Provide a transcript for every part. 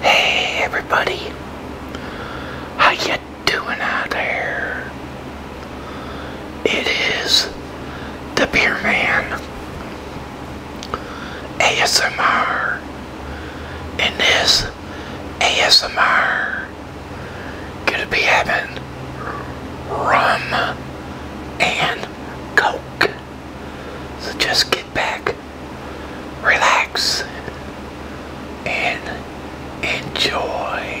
Hey everybody, how you doing out there? It is the Beer Man ASMR, and this ASMR gonna be having rum and coke. So just get back, relax, and enjoy.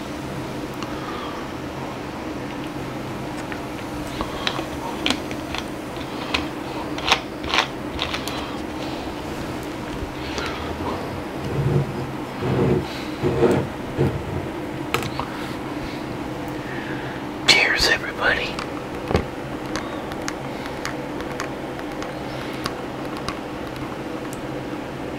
Cheers, everybody.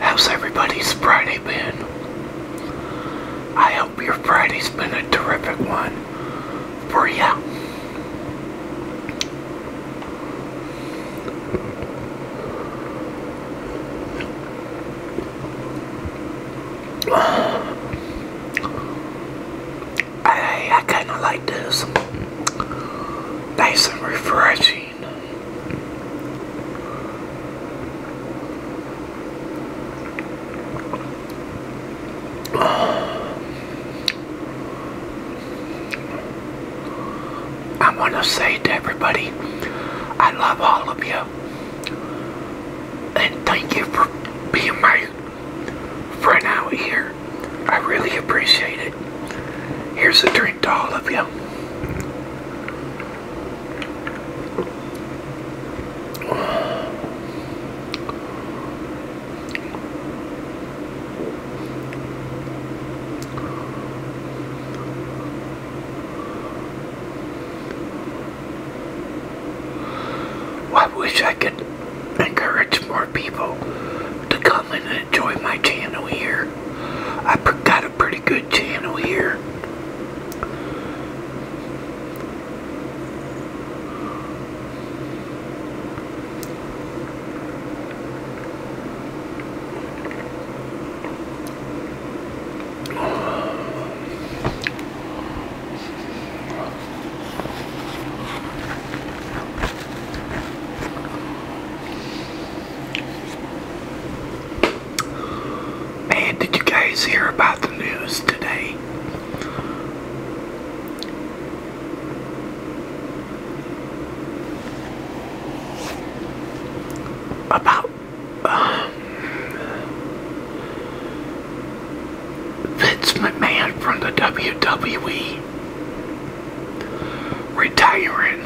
How's everybody's Friday been? I hope your Friday's been a terrific one for you. I, I kind of like this nice and refreshing. I want to say to everybody, I love all of you. And thank you for being my friend out here. I really appreciate it. Here's a drink to all of you. Well, I I could encourage more people to come and enjoy my channel here. I've got a pretty good channel here. Man, did you guys hear about the news today? About um, Vince McMahon from the WWE retiring.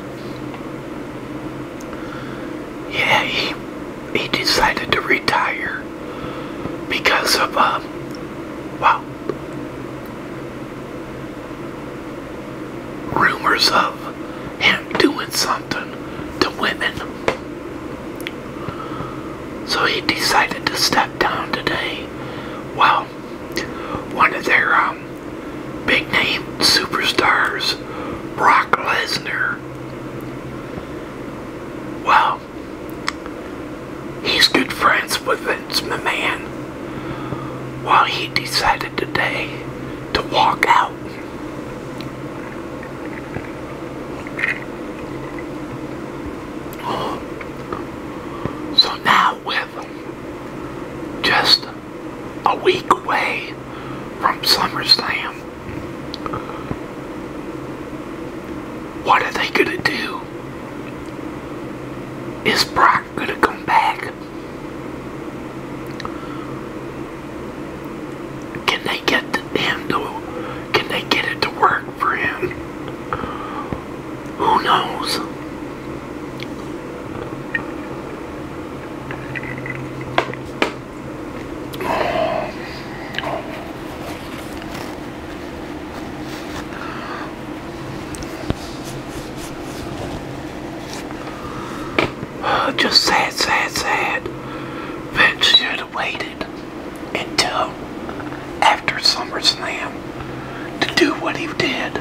Yeah, he, he decided to retire because of, um, well, rumors of him doing something to women. So he decided to step down today. Well, one of their um, big name superstars, Brock Lesnar. Well, he's good friends with Vince McMahon. while he decided today to walk out. So now with just a week away from SummerSlam, what are they going to do? Is Brock going to come back? Can they get him to, can they get it to work friend. Who knows? Uh, just sad, sad, sad. Vince should have waited until after SummerSlam to do what he did.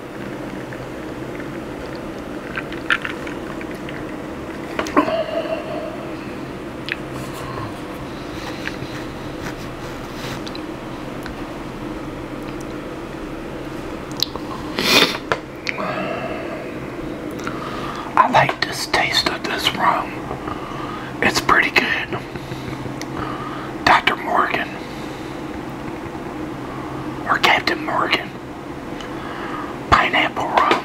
I like this taste of this rum. It's pretty good. Dr. Morgan or Captain Morgan pineapple rum.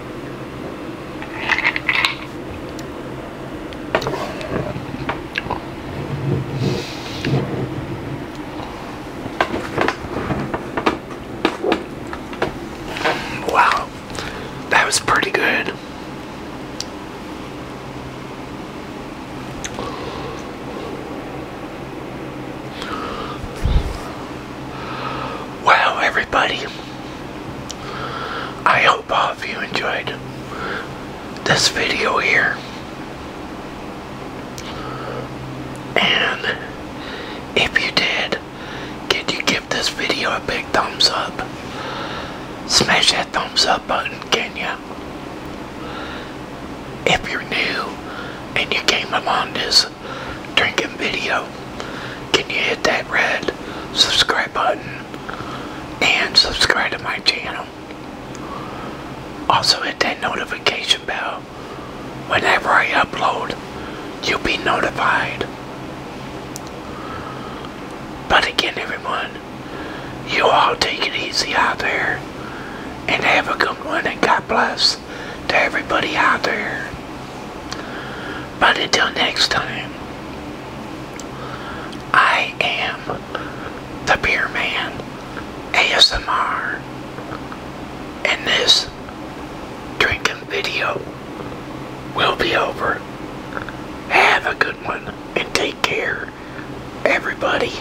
Wow, that was pretty good. Wow, everybody, I hope all of you enjoyed this video here. And if you did, could you give this video a big thumbs up? Smash that thumbs up button, can ya? If you're new and you came upon this drinking video. Can you hit that red subscribe button and subscribe to my channel? Also hit that notification bell. Whenever I upload, you'll be notified. But again, everyone, you all take it easy out there and have a good one and God bless to everybody out there. But until next time, I am the Beer Man ASMR, and this drinking video will be over. Have a good one and take care, everybody.